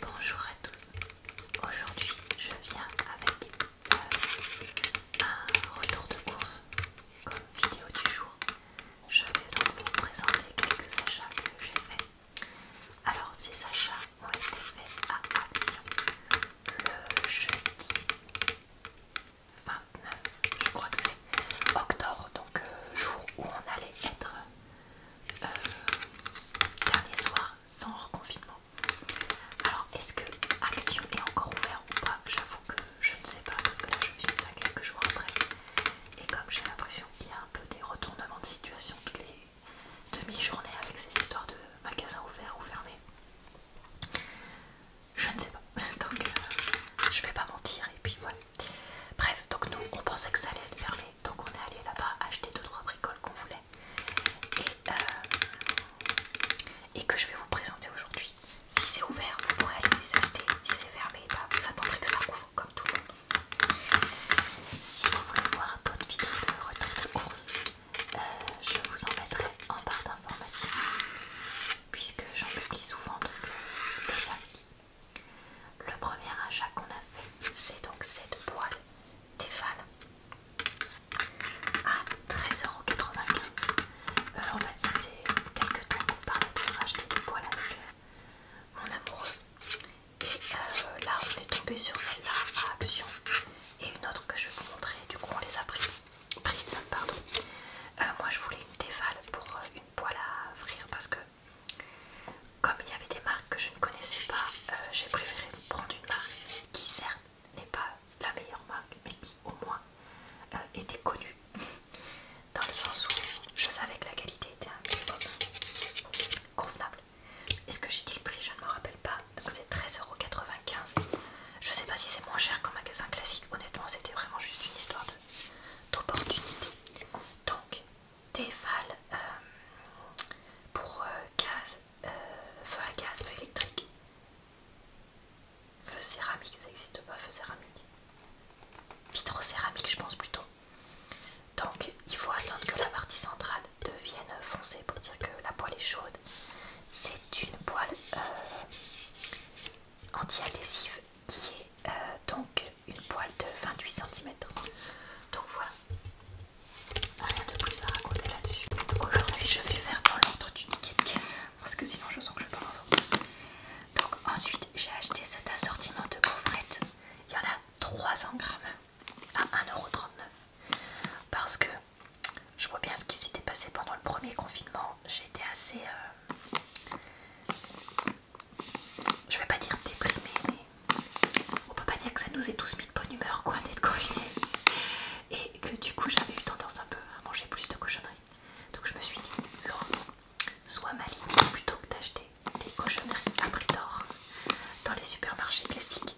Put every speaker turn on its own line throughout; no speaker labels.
Bonjour à tous, aujourd'hui je viens avec euh, un retour de course comme vidéo du jour. Je vais donc vous présenter quelques achats que j'ai faits. Alors ces achats ont été faits à Action le jeudi 29, je crois que c'est octobre, donc euh, jour où on allait être euh, dernier soir sans reconfinement. Alors, est-ce que Action est encore ouvert ou pas J'avoue que je ne sais pas parce que là je fais ça quelques jours après. Et comme j'ai l'impression qu'il y a un peu des retournements de situation toutes les demi-journées avec ces histoires de magasins ouverts ou fermés, je ne sais pas. Donc, euh, je vais pas mentir et puis voilà. Bref, donc nous on pensait que ça allait être fermé donc on est allé là-bas acheter 2-3 bricoles qu'on voulait euh, et, que je vais vous présenter aujourd'hui. Si c'est ouvert, vous pourrez aller les acheter. Si c'est fermé, bah, vous attendrez que ça couvre comme tout le monde. Si vous voulez voir d'autres vidéos de retour de course, euh, je vous en mettrai en barre d'information puisque j'en publie souvent donc, le samedi. Le premier achat qu'on a fait, c'est donc cette boîte. Tefal à 13,95€. en fait, ça faisait quelques temps qu'on parlait de racheter des poils avec euh, mon amoureux. Et euh, là, on est tombé sur celle-là à Action et une autre que je vais vous montrer. Du coup, on les a prises. Pardon. Euh, moi, je voulais une Tefal pour une poêle à frire parce que comme il y avait des marques que je ne connaissais pas, euh, j'ai préféré prendre une marque qui certes n'est pas la meilleure marque, mais qui au moins euh, était connue. Dans le sens où je savais que la qualité était un convenable. Est-ce que j'ai dit le prix Je ne me rappelle pas. Donc c'est 13,95€. Je sais pas si c'est moins cher qu'un magasin classique. Honnêtement, c'était vraiment juste une histoire d'opportunité. Donc des euh, pour euh, gaz, euh, feu à gaz, feu électrique, feu céramique, ça existe pas, feu céramique, céramique je pense plutôt. Donc il faut attendre que la partie centrale devienne foncée pour dire que la poêle est chaude. C'est une poêle anti-adhésive qui est donc une poêle de 28 cm. Donc voilà, Rien de plus à raconter là-dessus. Aujourd'hui, je vais faire dans l'ordre du ticket de caisse parce que sinon, je sens que je pense. Donc, ensuite, j'ai acheté cet assortiment de gaufrettes. Il y en a 300 grammes à 1,39€ parce que je vois bien ce qui s'était passé pendant le premier confinement. J'étais assez. Euh, je vais pas dire déprimée, mais on peut pas dire que ça nous est tous mis de bonne humeur quoi d'être conviés et que du coup j'avais eu tendance un peu à manger plus de cochonneries. Donc je me suis dit, soit sois maligne plutôt que d'acheter des cochonneries à prix d'or dans les supermarchés classiques.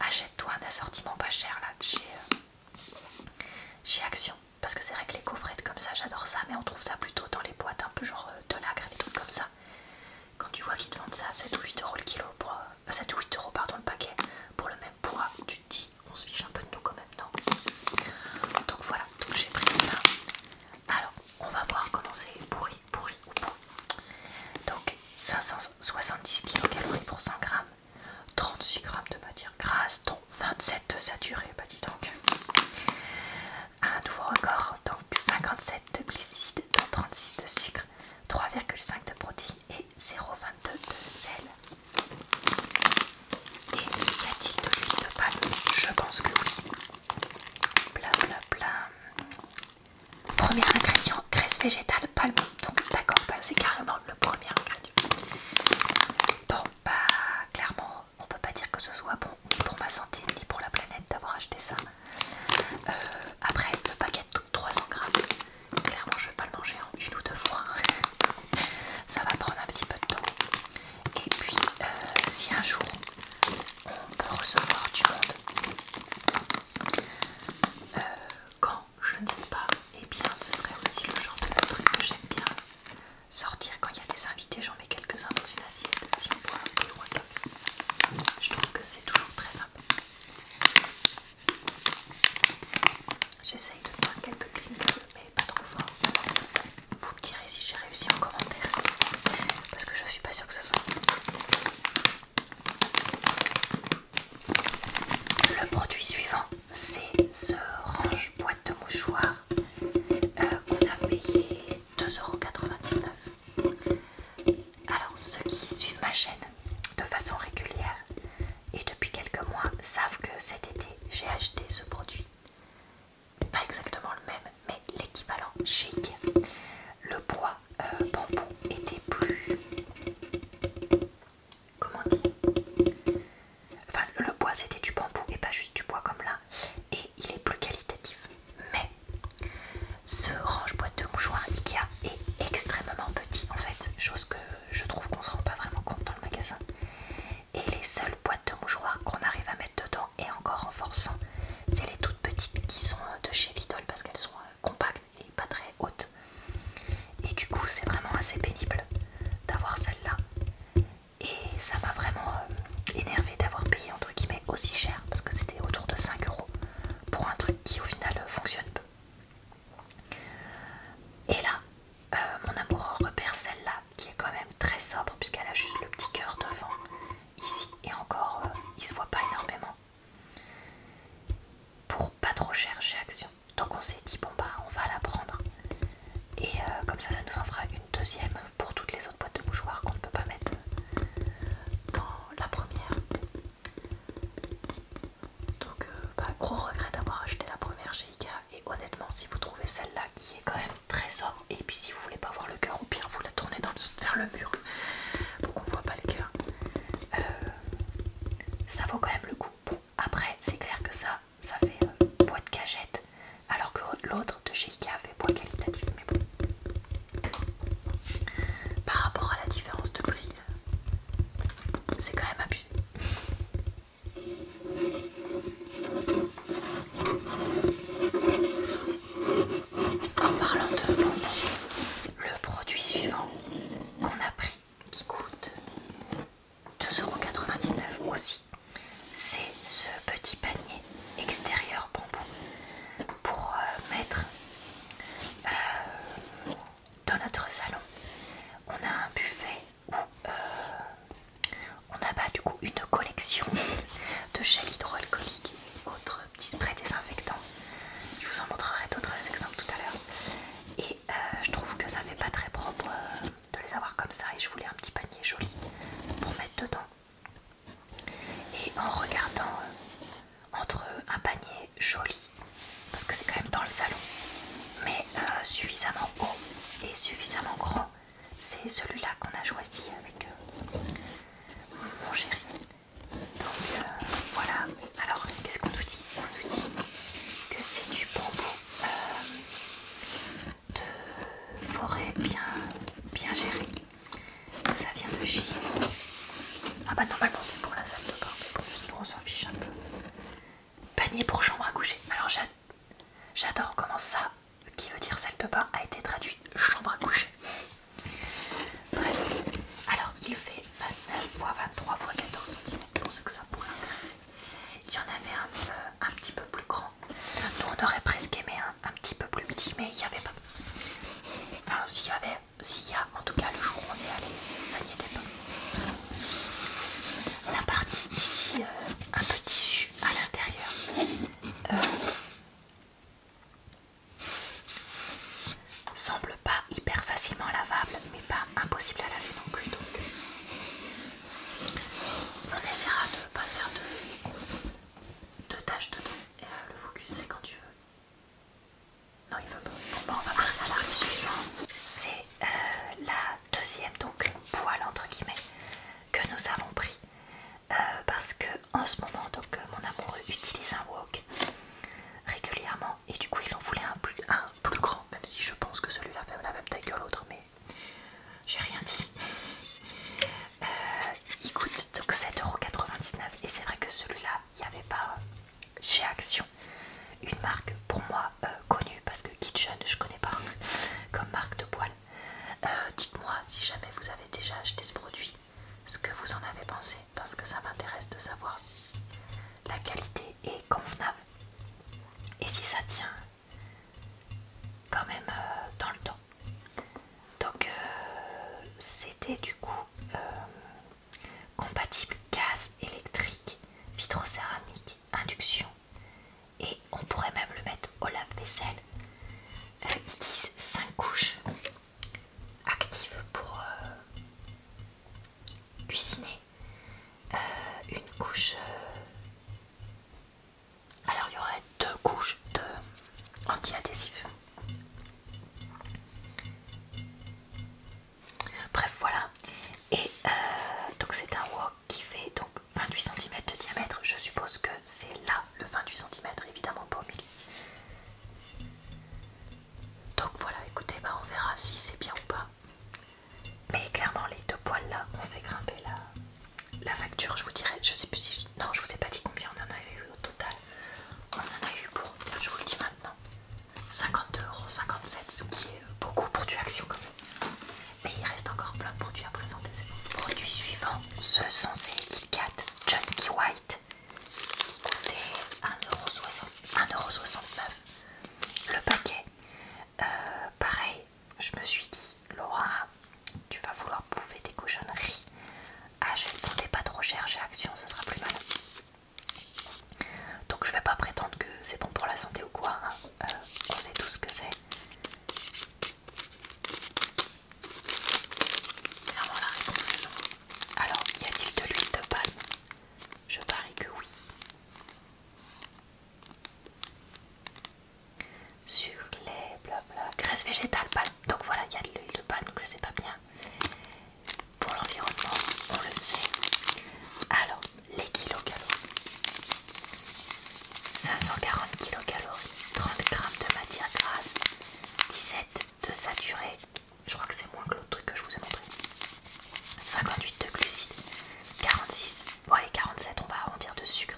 Achète-toi un assortiment pas cher là euh, chez, Action. Parce que c'est vrai que les coffrets comme ça, j'adore ça, mais on trouve ça plutôt dans les boîtes un peu genre euh, de lacre et des trucs comme ça. Quand tu vois qu'ils te vendent ça à 7 ou 8 euros le euh, le paquet, pour le même poids, tu te dis on se fiche un peu de nous quand même, non Donc voilà, j'ai pris ça. Alors, on va voir comment c'est pourri, pourri ou pourri. Donc 570 kcal pour 100 g, 36 g de matière grasse, dont 27 de saturé, bah dis donc. Un nouveau record, donc 57 de glucides, 36 de sucre, 3,5 de protéines et 0,22 de sel. Et y a-t-il de l'huile de palme Je pense que oui. Bla bla Premier ingrédient, graisse végétale, palme. Donc d'accord, bah, c'est carrément le premier ingrédient. Bon, pas bah, clairement, on peut pas dire que ce soit bon ni pour ma santé ni pour la planète d'avoir acheté ça. Euh, après, le paquet de 300 grammes, clairement je ne vais pas le manger en une ou deux fois. Ça va prendre un petit peu de temps. Et puis, euh, si un jour on peut recevoir du monde, euh, quand je ne sais pas, et eh bien ce serait aussi le genre de truc que j'aime bien sortir quand il y a des invités. J'en mets quelques-uns dans une assiette si on boit un peu Je trouve que c'est toujours très sympa. J'essaye de faire quelques clics, mais pas trop fort. Vous me direz si j'ai réussi en commentaire, parce que je suis pas sûre que ce soit. Le produit suivant, c'est ce range boîte de mouchoirs euh, qu'on a payé 2,99€. Alors ceux qui suivent ma chaîne de façon régulière et depuis quelques mois savent que cet été j'ai acheté ce produit. Pas exactement le même mais l'équivalent chez Le euh, bois bambou était plus... Comment dire Enfin le bois c'était du bambou et pas juste du bois comme là. Et il est plus qualitatif mais ce range boîte de mouchoir Ikea est extrêmement petit en fait, chose que je trouve qu'on se rend pas vraiment compte dans le magasin. Et les seules boîtes de mouchoirs qu'on arrive à mettre dedans et encore en forçant, c'est les toutes petites qui sont euh, de chez Lidl parce qu'elles sont euh, compactes et pas très hautes. Et du coup, c'est vraiment assez pénible d'avoir celle-là. Et ça m'a vraiment euh, énervé d'avoir payé entre guillemets aussi cher parce que c'était autour de 5 euros pour un truc qui au final fonctionne peu. Et là, euh, mon amoureux repère celle-là qui est quand même très sobre puisqu'elle a juste le petit cœur devant ici et encore il euh, il se voit pas énormément. Pour pas trop chercher Action. Donc on s'est dit bon bah on va la prendre et euh, comme ça ça nous en fera une deuxième pour toutes les autres boîtes de mouchoirs qu'on ne peut pas mettre dans la première. Donc, euh, bah, gros regret d'avoir acheté la première chez Ikea. Et honnêtement, si vous trouvez celle-là qui est quand même très sombre et puis si vous voulez pas voir le cœur, ou pire vous la tournez vers le mur pour qu'on voit pas le cœur, euh, ça vaut quand même le coup. après, c'est clair que ça, ça fait de euh, cagette alors que l'autre de chez Ikea fait boîte qualitatif mais bon. Par rapport à la différence de prix, c'est quand même abusé. En parlant de bambou le produit suivant qu'on a pris qui coûte 2,99€ aussi, c'est ce petit panier extérieur bambou pour euh, mettre euh, dans notre salon. On a un buffet où euh, on a pas du coup une collection de gel hydroalcoolique et autres petits sprays désinfectants. Je vous en montrerai d'autres exemples tout à l'heure. Et je trouve que ça fait pas très propre de les avoir comme ça et je voulais un petit panier joli pour mettre dedans. Et en regardant entre un panier joli, parce que c'est quand même dans le salon, mais euh, suffisamment haut et suffisamment grand. C'est celui-là qu'on a choisi avec euh, mon chéri. Donc euh, voilà. Alors qu'est-ce qu'on nous dit On nous dit que c'est du bambou de forêt bien, bien géré ça vient de Chine. Ah bah normalement c'est pour la salle de bain, mais pour nous on s'en fiche un peu. Panier pour chambre à coucher. Alors j'adore comment ça, qui veut dire salle de bain, a été traduit chambre à coucher. Bref, alors il fait 29 x 23 x 14 cm pour ce que ça pourrait intéresser. Il y en avait un, euh, un petit peu plus grand. Nous on aurait presque aimé un, un petit peu plus petit, mais il n'y avait pas. Enfin, s'il y avait, s'il y a, en tout cas le jour où on est allé, ça n'y était pas. La partie ici, euh, un petit tissu à l'intérieur. Euh, semble pas hyper facilement lavable mais pas impossible à laver non plus donc on essaiera de ne pas faire de, taches dedans et euh, le focus c'est quand tu veux non, il veut pas. Bon, bah, on va passer à l'article suivant. C'est euh, la deuxième, donc poêle entre guillemets, que nous avons pris. Euh, parce que en ce moment, donc euh, mon amoureux utilise un wok régulièrement et du coup, il en voulait un plus, un plus grand, même si je pense que celui-là fait la même taille que l'autre, mais j'ai rien dit. il coûte donc 7,99€ et c'est vrai que celui-là il n'y avait pas euh, chez Action une marque pour moi euh, connue parce que Kitchen je connais pas comme marque de poil. Euh, dites-moi si jamais vous avez déjà acheté ce produit, ce que vous en avez pensé parce que ça m'intéresse de savoir si la qualité est convenable et si ça tient quand même dans le temps. Donc c'était du coup compatible gaz, électrique, vitrocéramique, induction et on pourrait même le mettre au lave-vaisselle. Euh, ils disent 5 couches actives pour euh, cuisiner. Euh, une couche... Alors il y aurait deux couches de anti Bref, voilà. Et euh, donc c'est un wok qui fait donc 28 cm de diamètre. Je suppose que c'est là le 28 cm, évidemment pas au milieu. Donc voilà, écoutez, bah, on verra si c'est bien ou pas. Mais clairement, les deux poils là On fait grimper la, facture. Je vous dirais, je sais plus si. Je, non, je vous ai pas dit combien on en a eu au total. On en a eu pour. Je vous le dis maintenant. 52,57€, ce qui est beaucoup pour du action Mais il reste encore plein de produits à présenter. Produit suivant, ce sont ces Kit junkie White qui coûtaient 1,69€. Le paquet, euh, pareil, je me suis dit, Laura, tu vas vouloir bouffer des cochonneries. Ah, je ne sentais pas trop cher chez Action, ce sera plus mal. Donc je vais pas prétendre que c'est bon pour la santé ou quoi, hein. euh, on sait tout ce que c'est. Alors, y a-t-il de l'huile de palme Je parie que oui. Sur les blabla. Graisse végétale, palme. Donc voilà, il y a de l'huile de palme, donc ça c'est pas bien pour l'environnement, on le sait. Alors, les kilocalories. 540 kilocalories, 30 g de matière grasse, 17 de saturé, je crois que c'est moins que l'autre truc que je vous ai montré. 58 de glucides, 46, bon les 47 on va arrondir de sucre,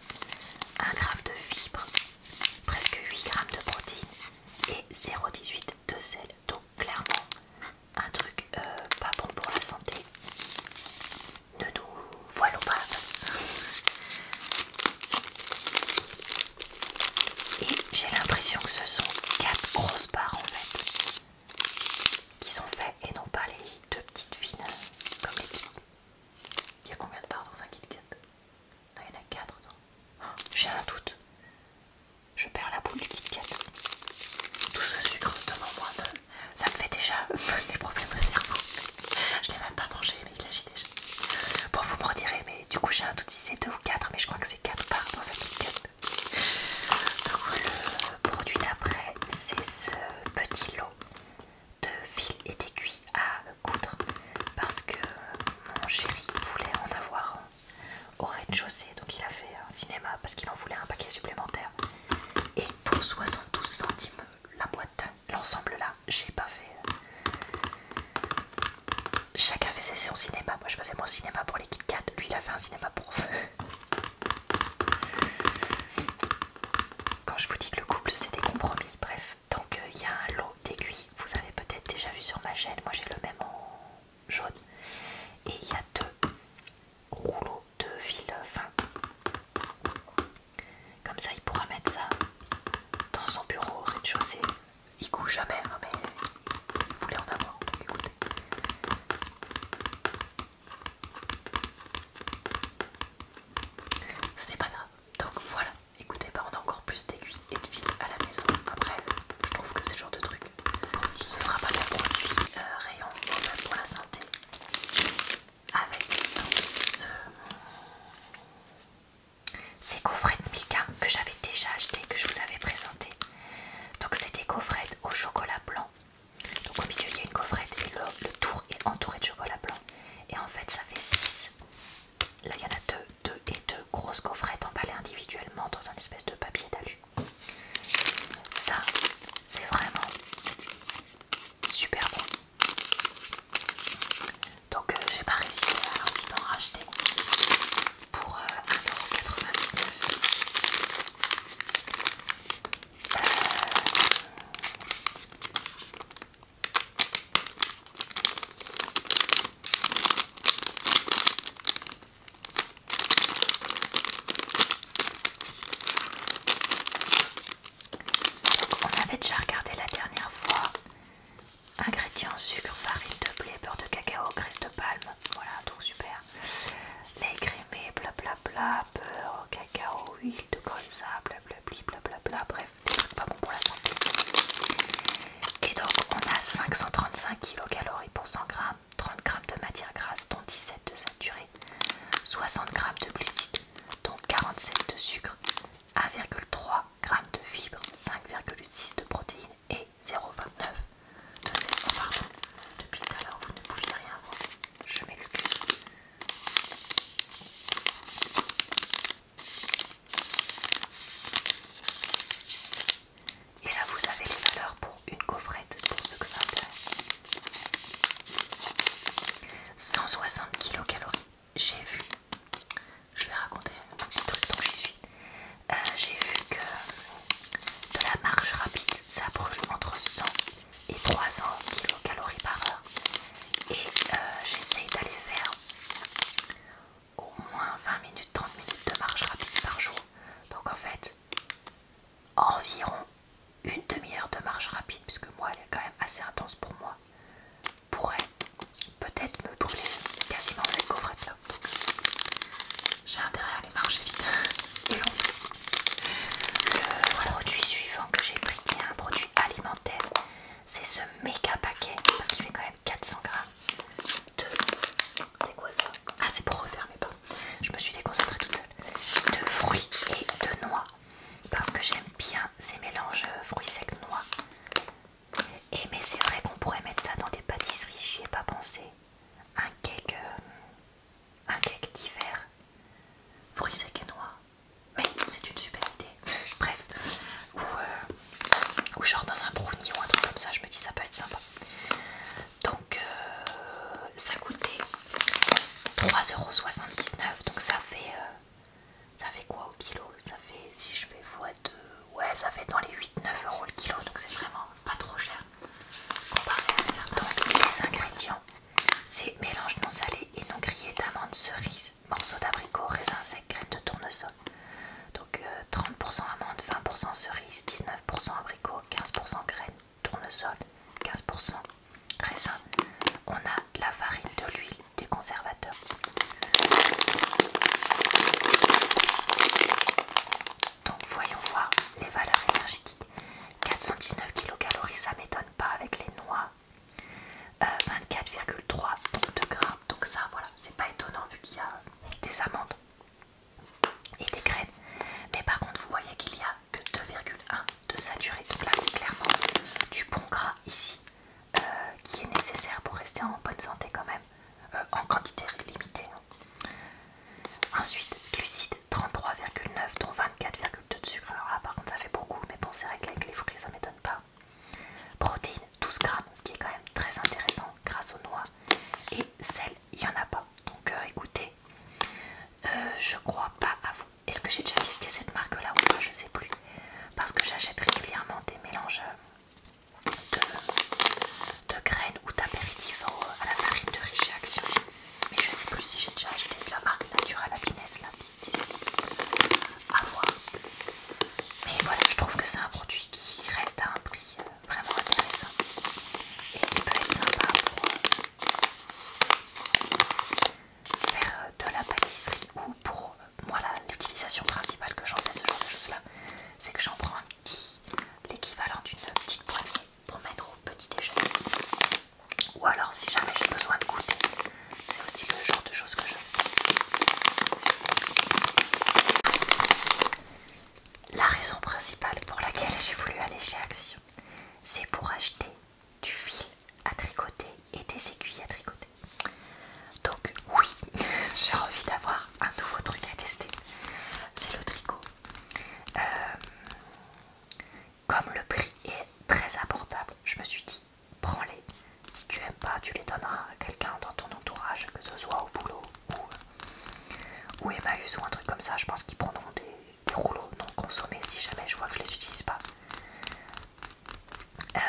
1 gramme de fibres, presque 8 grammes de protéines et 0,18 de sel. Donc clairement un truc euh, pas bon pour la santé. Ne nous voilons pas Et j'ai l'impression que ce sont quatre grosses barres en fait qui sont faites et non pas les deux petites fines comme les petites. Il y a combien de barres dans un Non, Il y en a quatre. Oh, j'ai un doute je perds la boule du KitKat Tout ce sucre devant moi, ça me fait déjà des problèmes au cerveau. Je l'ai même pas mangé, mais il agit déjà. Bon, vous me redirez, mais du coup, j'ai un doute si c'est 2 ou 4, mais je crois que c'est 4 parts dans cette KitKat Donc, le produit d'après, c'est ce petit lot de fil et d'aiguilles à coudre parce que mon chéri voulait en avoir au rez-de-chaussée, donc il a fait un cinéma parce qu'il en voulait un paquet supplémentaire. Et pour 72 centimes la boîte, l'ensemble là, j'ai pas fait. Chacun faisait son cinéma. Moi je faisais mon cinéma pour les Kit lui il a fait un cinéma pour ça. Quand je vous dis que le couple c'est des compromis, bref, donc euh, il y a un lot d'aiguilles, vous avez peut-être déjà vu sur ma chaîne, moi j'ai le même jaune. Et il y a deux rouleaux de fil fin. Comme ça, il pourra mettre ça dans son bureau rez-de-chaussée. Il couche jamais, hein, mais il voulait en avoir. Écoutez. C'est pas grave. Donc voilà, écoutez, bah on a encore plus d'aiguilles et de fil à la maison après. Je trouve que c'est genre de truc. Ce ne sera pas le produit euh, rayon pour la santé. Avec ce... ces gaufrettes Milka que j'avais déjà acheté, que je vous avais présenté. Donc c'est des gaufrettes au chocolat blanc. Donc au milieu il y a une coffrette et le, tour est entouré de chocolat blanc. Et en fait ça fait 6. Là il y en a deux, deux et deux grosses coffrets emballées individuellement dans un espèce de papier d'alu. Ça, c'est vraiment super bon. Donc euh, j'ai pas réussi à en d'en racheter pour euh, vingt 1,99€. Euh, on avait déjà regardé la dernière fois. Ingrédients sucre, farine de blé, beurre de cacao, graisse de palme. Voilà, donc super. Lait crémé, bla bla, bla beurre, cacao, huile de colza, Bla bla Bla, bla, bref, des trucs pas bons pour la santé. Et donc, on a 535 kcal pour 100 g 30 g de matière grasse, dont 17 de saturé 60 g de glucides, dont 47 de sucre, 1,3 g de fibres, 5,6 de protéines et 0,29 de sel. Oh, pardon, depuis tout à l'heure, vous ne pouviez rien Je m'excuse. Et là vous avez les valeurs pour une coffrette pour ceux que ça 160 kcal. J'ai vu, je vais raconter un petit truc j'y suis. Euh, j'ai vu que de la marche rapide ça brûle entre 100 et 300 kcal par heure. Et euh, j'essaye d'aller faire au moins 20 minutes, 30 minutes de marche rapide par jour. Donc en fait, environ une demi-heure de marche rapide, puisque moi elle est quand même assez intense pour moi, pourrait peut-être me brûler quasiment cette coffrette là. Donc j'ai intérêt à aller marcher vite et longtemps. Le produit suivant que j'ai pris qui est un produit alimentaire, c'est ce méga paquet parce qu'il fait quand même 400 grammes de c'est quoi ça Ah, c'est pour mes pas Je me suis déconcentrée toute seule. De fruits et de noix. Parce que j'aime bien ces mélanges euh, fruits secs noix. Et mais c'est vrai qu'on pourrait mettre ça dans des pâtisseries, j'y ai pas pensé. Un cake, euh, un cake d'hiver, fruits secs et noix. Mais c'est une super idée. Bref, ou, euh, ou genre dans un brownie ou un truc comme ça, je me dis ça peut être sympa donc euh, ça coûtait 3,79€, donc ça fait, euh, ça fait quoi au kilo Ça fait, si je fais x2, ouais, ça fait dans les 8-9€ le kilo, donc c'est vraiment pas trop cher comparé à certains. Donc les ingrédients, c'est mélange non salé et non grillé d'amandes cerises, morceaux d'abricot, raisins secs, crème de tournesol. Donc 30% euh, amandes, 20% cerises, 19% abricot, 15% graines, tournesol, 15% raisin. On a de la farine, de l'huile, des conservateurs. Donc voyons voir les valeurs énergétiques. 419 kcal, ça m'étonne pas avec les noix. 24,3 euh, 24,3 de gras, donc ça voilà, c'est pas étonnant vu qu'il y a des amandes et des graines. Mais par contre, vous voyez qu'il n'y a que 2,1 de saturé. Donc là, c'est clairement du bon gras ici euh, qui est nécessaire pour rester en bonne santé quand même, euh, en quantité limitée. Hein. Ensuite, glucides 33,9 dont 24,2 de sucre. Alors là, par contre, ça fait beaucoup, mais bon, c'est vrai les fruits, ça m'étonne pas. Protéines 12 grammes, ce qui est quand même très intéressant grâce aux noix et sel il n'y en a pas. Donc euh, écoutez, euh, je crois pas à vous. Est-ce que j'ai déjà testé cette marque là ou pas Je sais plus. Parce que j'achète régulièrement des mélanges euh, de, graines ou d'apéritifs à la farine de riche action. Mais je sais plus si j'ai déjà acheté de la marque à la là. À voir. Mais voilà, je trouve que c'est un produit qui reste à un prix vraiment intéressant et qui peut être sympa pour faire euh, de la pâtisserie ou pour euh, moi l'utilisation principale que j'en fais ce genre de choses là c'est que j'en prends un petit l'équivalent d'une petite poignée pour mettre au petit déjeuner ou alors si jamais j'ai besoin de goûter c'est aussi le genre de choses que je fais la raison principale pour laquelle j'ai voulu aller chez Action, c'est pour acheter du fil à tricoter et des aiguilles à tricoter. Donc oui, j'ai envie d'avoir un nouveau truc à tester. C'est le tricot. Euh, comme le prix est très abordable, je me suis dit, prends-les. Si tu n'aimes pas, tu les donneras à quelqu'un dans ton entourage, que ce soit au boulot, ou, Emmaüs ou un truc comme ça. Je pense qu'ils prendront des, rouleaux non consommés si jamais je vois que je les utilise pas. Euh,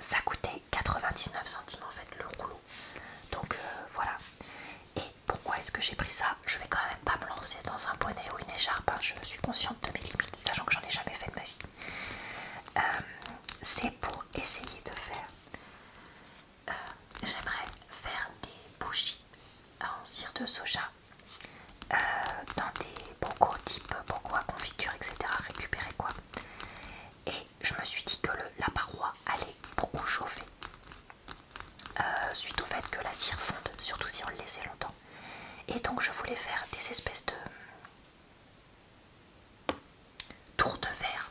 ça coûtait 99 centimes en fait le rouleau. Donc euh, voilà. Et pourquoi est-ce que j'ai pris ça Je vais quand même pas me lancer dans un bonnet ou une écharpe. je hein. Je suis consciente de mes limites, sachant que j'en ai jamais fait de ma vie. Euh, c'est pour essayer de faire euh, j'aimerais faire des bougies en cire de soja euh, dans des bocaux type bocaux à confiture, etc. Récupérer quoi. Et je me suis dit que la paroi allait beaucoup chauffer euh, suite au fait que la cire fonde, surtout si on le laissait longtemps. Et donc je voulais faire des espèces de tours de verre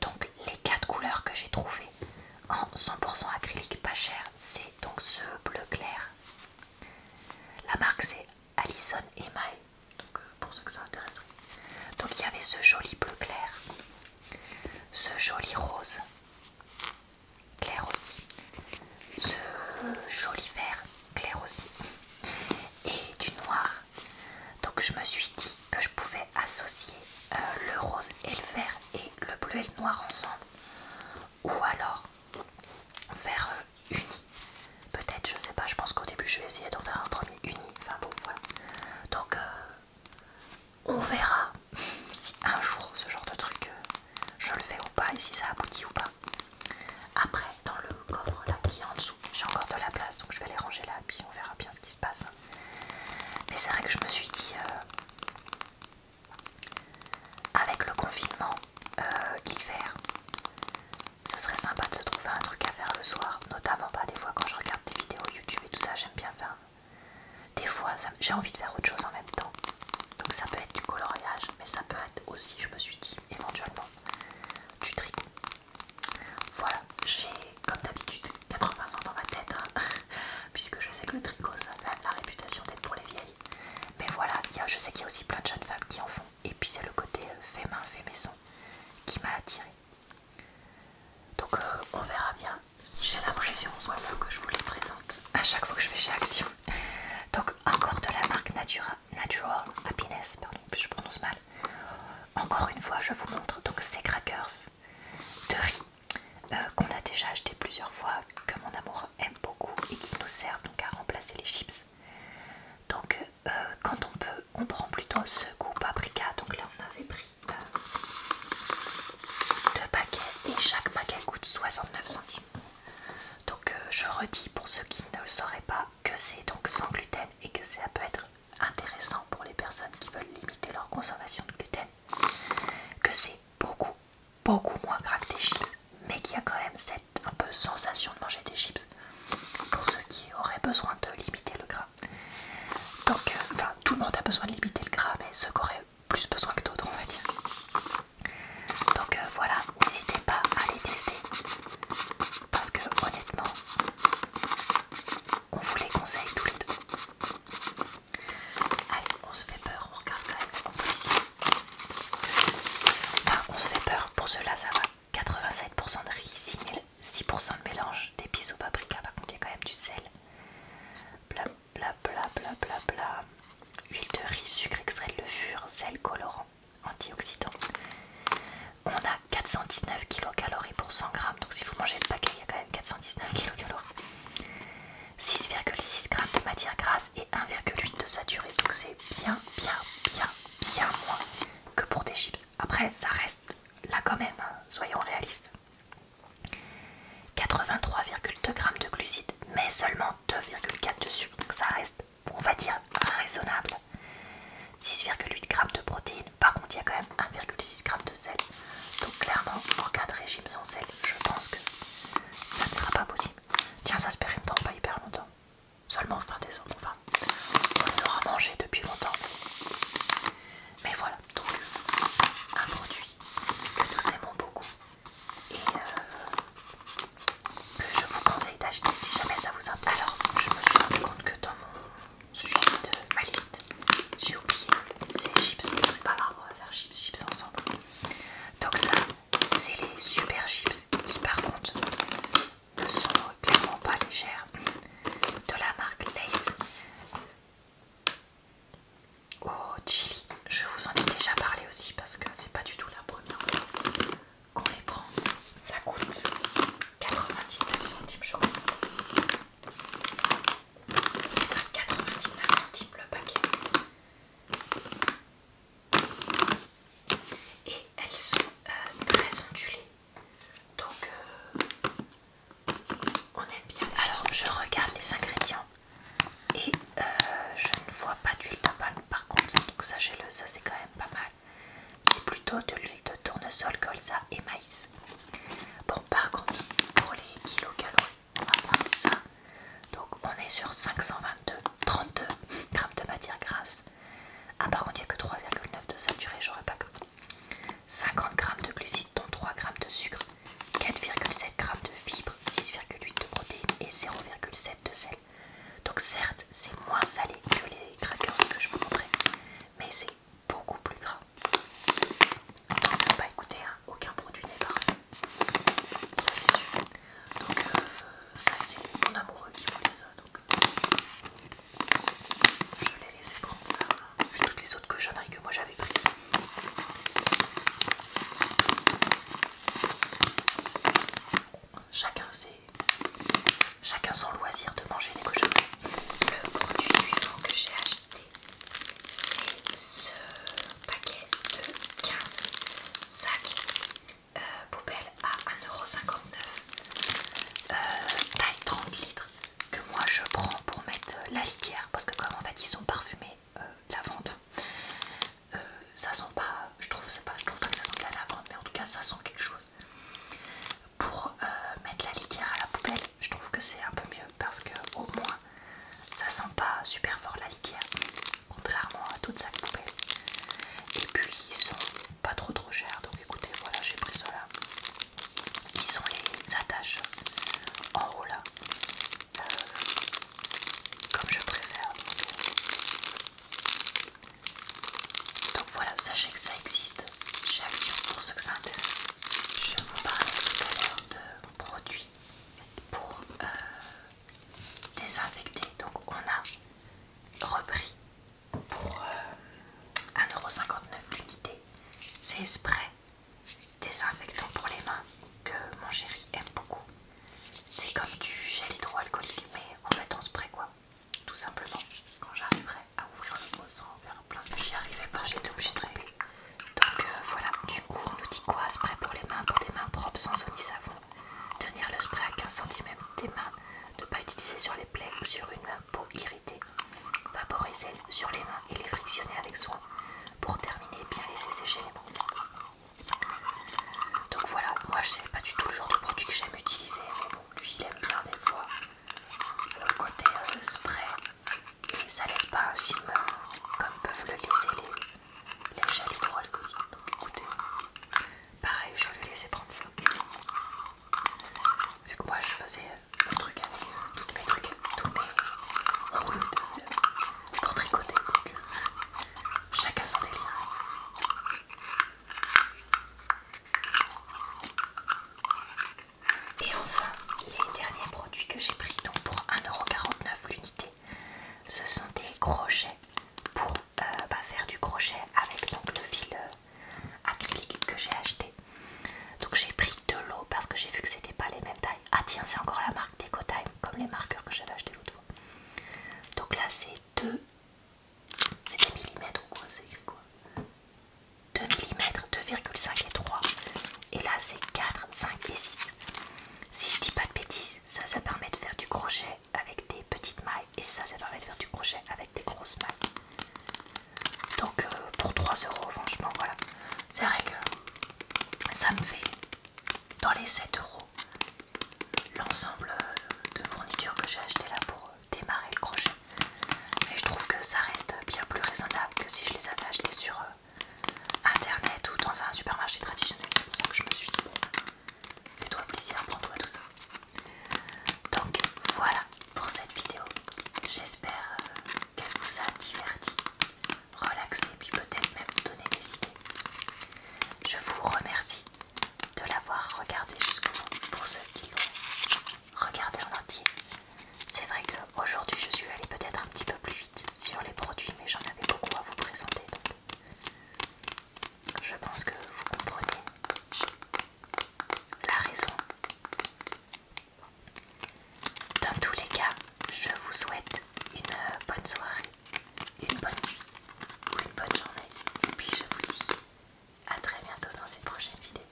Donc les quatre couleurs que j'ai trouvées en 100% acrylique pas cher, c'est donc ce bleu clair. La marque c'est Allison et donc euh, pour ceux que ça intéresse. Donc il y avait ce joli bleu clair, ce joli rose clair aussi, ce joli vert clair aussi, et du noir donc je me suis dit que je pouvais associer euh, le rose et le vert et le bleu et le noir ensemble. Ou alors faire euh, unis Peut-être, je sais pas, je pense qu'au début je vais essayer d'en faire un premier uni. Enfin bon, voilà. Donc euh, on verra si un jour ce genre de truc je le fais ou pas et si ça aboutit ou pas. Après, dans le coffre là qui est en dessous. J'ai encore de la place donc je vais les ranger là puis on verra bien ce qui se passe. Mais c'est vrai que je me suis dit, euh, avec le confinement, euh, hiver l'hiver, ce serait sympa de se trouver un truc à faire le soir, notamment pas des fois quand je regarde des vidéos YouTube et tout ça, j'aime bien faire. Des fois, j'ai envie de faire autre chose en même temps. Donc ça peut être du coloriage, mais ça peut être aussi, je me suis dit, éventuellement, du tricot. Voilà, j'ai comme d'habitude 80 ans dans ma tête, hein, puisque je sais que le tricot ça a la réputation d'être pour les vieilles. Mais voilà, je sais qu'il y a aussi plein de jeunes femmes qui en font. Et puis c'est le côté euh, fait main, fait maison qui m'a attirée. Donc euh, on verra bien si j'ai l'impression soit que je vous les présente à chaque fois que je vais chez Action. Donc encore de la marque Natural Happiness, pardon, je prononce mal. Encore une fois, je vous montre donc ces crackers de riz euh, qu'on a déjà acheté plusieurs fois, que mon amour aime beaucoup et qui nous servent donc à remplacer les chips. Donc euh, quand on peut, on prend plutôt ce goût paprika. Donc là, on avait pris euh, deux paquets et chaque paquet coûte 69 centimes. Donc je redis pour ceux qui ne le sauraient pas, que c'est donc sans gluten et que ça peut être intéressant pour les personnes qui veulent limiter leur consommation de gluten, que c'est beaucoup, beaucoup moins gras que des chips, mais qu'il y a quand même cette un peu sensation de manger des chips pour ceux qui auraient besoin de limiter le gras. Donc, euh, enfin, tout le monde a besoin de limiter le gras, mais ceux qui auraient plus besoin que d'autres, on va dire. Donc euh, voilà, n'hésitez pas à les tester parce que honnêtement, on vous les conseille tous les deux. Allez, on se fait peur, on regarde quand même en on se fait peur, pour cela ça va. 87% de riz, 6% de mélange d'épices au paprika, par contre il y a quand même du sel. Bla bla bla bla Huile de riz, sucre extrait de levure, sel colorant, antioxydant on a 419 kcal pour 100 grammes. Donc si vous mangez le paquet, il y a quand même 419 kcal. 6,6 g de matière grasse et 1,8 de saturé. Donc c'est bien, bien, bien, bien moins que pour des chips. Après, ça reste là quand même, hein, soyons réalistes. 83,2 grammes de glucides, mais seulement 2,4 de sucre. Donc ça reste, on va dire, raisonnable. 6,8 g de protéines, par contre il y a quand même 1,6 g de sel. Donc clairement, en cas de régime sans sel, je pense que ça ne sera pas possible. Tiens, ça se dans pas hyper longtemps. Seulement fin décembre, enfin, on l'aura mangé depuis longtemps. Mais voilà, donc un produit que nous aimons beaucoup et euh, que je vous conseille d'acheter si jamais ça vous plu Alors, je me suis rendu compte que dans mon suite de ma liste. J'ai oublié, ces chips, c'est pas grave, on va faire chips, chips ensemble. Donc ça, c'est les super chips qui par contre ne sont clairement pas légères de la marque Lays oh chili. Je vous en ai déjà parlé aussi parce que c'est pas du tout la première fois qu'on les prend. Ça coûte 99 centimes, je crois. C'est ça, 99 centimes le paquet. Et elles sont euh, très ondulées. Donc, euh, on aime bien. Alors, je regarde les ingrédients et euh, je ne vois pas d'huile de par contre. Donc, j'ai le ça c'est quand même pas mal c'est plutôt de l'huile de tournesol, colza et maïs. Bon, par contre, pour les kilocalories, on va prendre ça. Donc, on est sur 522, 32 grammes de matière grasse. Ah, par contre, il n'y a que 3,9 de saturé, j'aurais pas que. 50 grammes de glucides, dont 3 grammes de sucre, 4,7 grammes de fibres, 6,8 de protéines et 0,7 de sel. Donc certes, c'est moins salé que les crackers que je vous montrais, mais c'est beaucoup plus gras. n'a bah pas hein, aucun produit n'est parfait. Ça c'est sûr. Donc euh, ça c'est mon amoureux qui voulait ça. Donc euh, je l'ai laissé prendre ça. Hein, vu toutes les autres cochonneries que moi j'avais prises. Chacun ses, Chacun son loisir de manger les cochonneries. Le produit suivant que j'ai acheté, c'est ce paquet de 15 sacs euh, poubelles à 1,59€. Euh, taille 30 litres que moi je prends pour mettre euh, la litière parce que comme en fait ils sont parfumés la vente ça sent pas je trouve, pas pas que ça la lavande mais en tout cas ça sent quelque chose pour euh, mettre la litière à la poubelle je trouve que c'est un peu mieux parce que au moins ça sent pas super fort la litière contrairement à toute sa poubelle et puis ils sont pas trop trop chers donc écoutez voilà j'ai pris ceux-là ils sont les attaches en haut là euh, comme je préfère voilà, sachez que ça existe chez pour ceux que ça intéresse. Je vous parlais tout à l'heure de produits pour euh, désinfecter. Donc on a repris pour 1,59€ euh, l'unité ces sprays désinfectants pour les mains que mon chéri aime beaucoup. C'est comme du gel hydroalcoolique mais en fait on spray quoi tout simplement quand j'arriverai à ouvrir le pot sans faire plein. J'y arrivais pas, j'étais obligée de Donc euh, voilà, du coup on nous dit quoi Spray pour les mains, pour des mains propres sans eau ni savon. Tenir le spray à 15 cm des mains, ne pas utiliser sur les plaies ou sur une main peau irritée. Vaporiser sur les mains et les frictionner avec soin. Pour terminer, bien laisser sécher les mains. Donc voilà, moi je sais pas du tout le genre de produit que j'aime utiliser, mais bon, lui il aime bien des fois le côté euh, spray ça laisse pas un film euh, comme peuvent le laisser les, les de hydroalcooliques. Donc écoutez, pareil, je vais laisser prendre ça. Vu que moi je faisais euh, le truc avec tous mes trucs, tous mes rouleaux de, pour tricoter, donc chacun son délire. Et enfin, les derniers produits que j'ai pris, donc pour 1,49€ l'unité, ce sont des crochets pour euh, bah, faire du crochet avec le fil euh, acrylique que j'ai acheté. Donc j'ai pris de l'eau parce que j'ai vu que c'était pas les mêmes tailles. Ah tiens, c'est encore la marque DecoTime, comme les marqueurs que j'avais acheté l'autre fois. Donc là c'est 2. C'est des millimètres ou quoi C'est quoi 2 mm, 2,5 et 3. Et là c'est 4, 5 et 6. Si je dis pas de bêtises, ça ça permet de faire du crochet avec des petites mailles et ça ça permet de faire du crochet avec des grosses mailles. Donc euh, pour 3 euros franchement voilà. C'est vrai que ça me fait dans les 7 euros l'ensemble de fournitures que j'ai acheté là pour euh, démarrer le crochet. Mais je trouve que ça reste bien plus raisonnable que si je les avais achetés sur euh, internet ou dans un supermarché traditionnel. C'est pour ça que je me suis dit, fais-toi plaisir, prends-toi tout ça. Donc voilà pour cette vidéo. J'espère euh, qu'elle vous a diverti, relaxé, puis peut-être même donné des idées. Je vous remercie de l'avoir regardé jusqu'au bout pour ce qui regardez en entier. C'est vrai que aujourd'hui je suis allée peut-être un petit peu plus vite sur les produits, mais j'en avais beaucoup à vous présenter. Donc je pense que vous comprenez la raison. Dans tous les cas, je vous souhaite une bonne soirée, une bonne nuit ou une bonne journée. Et puis je vous dis à très bientôt dans une prochaine vidéo.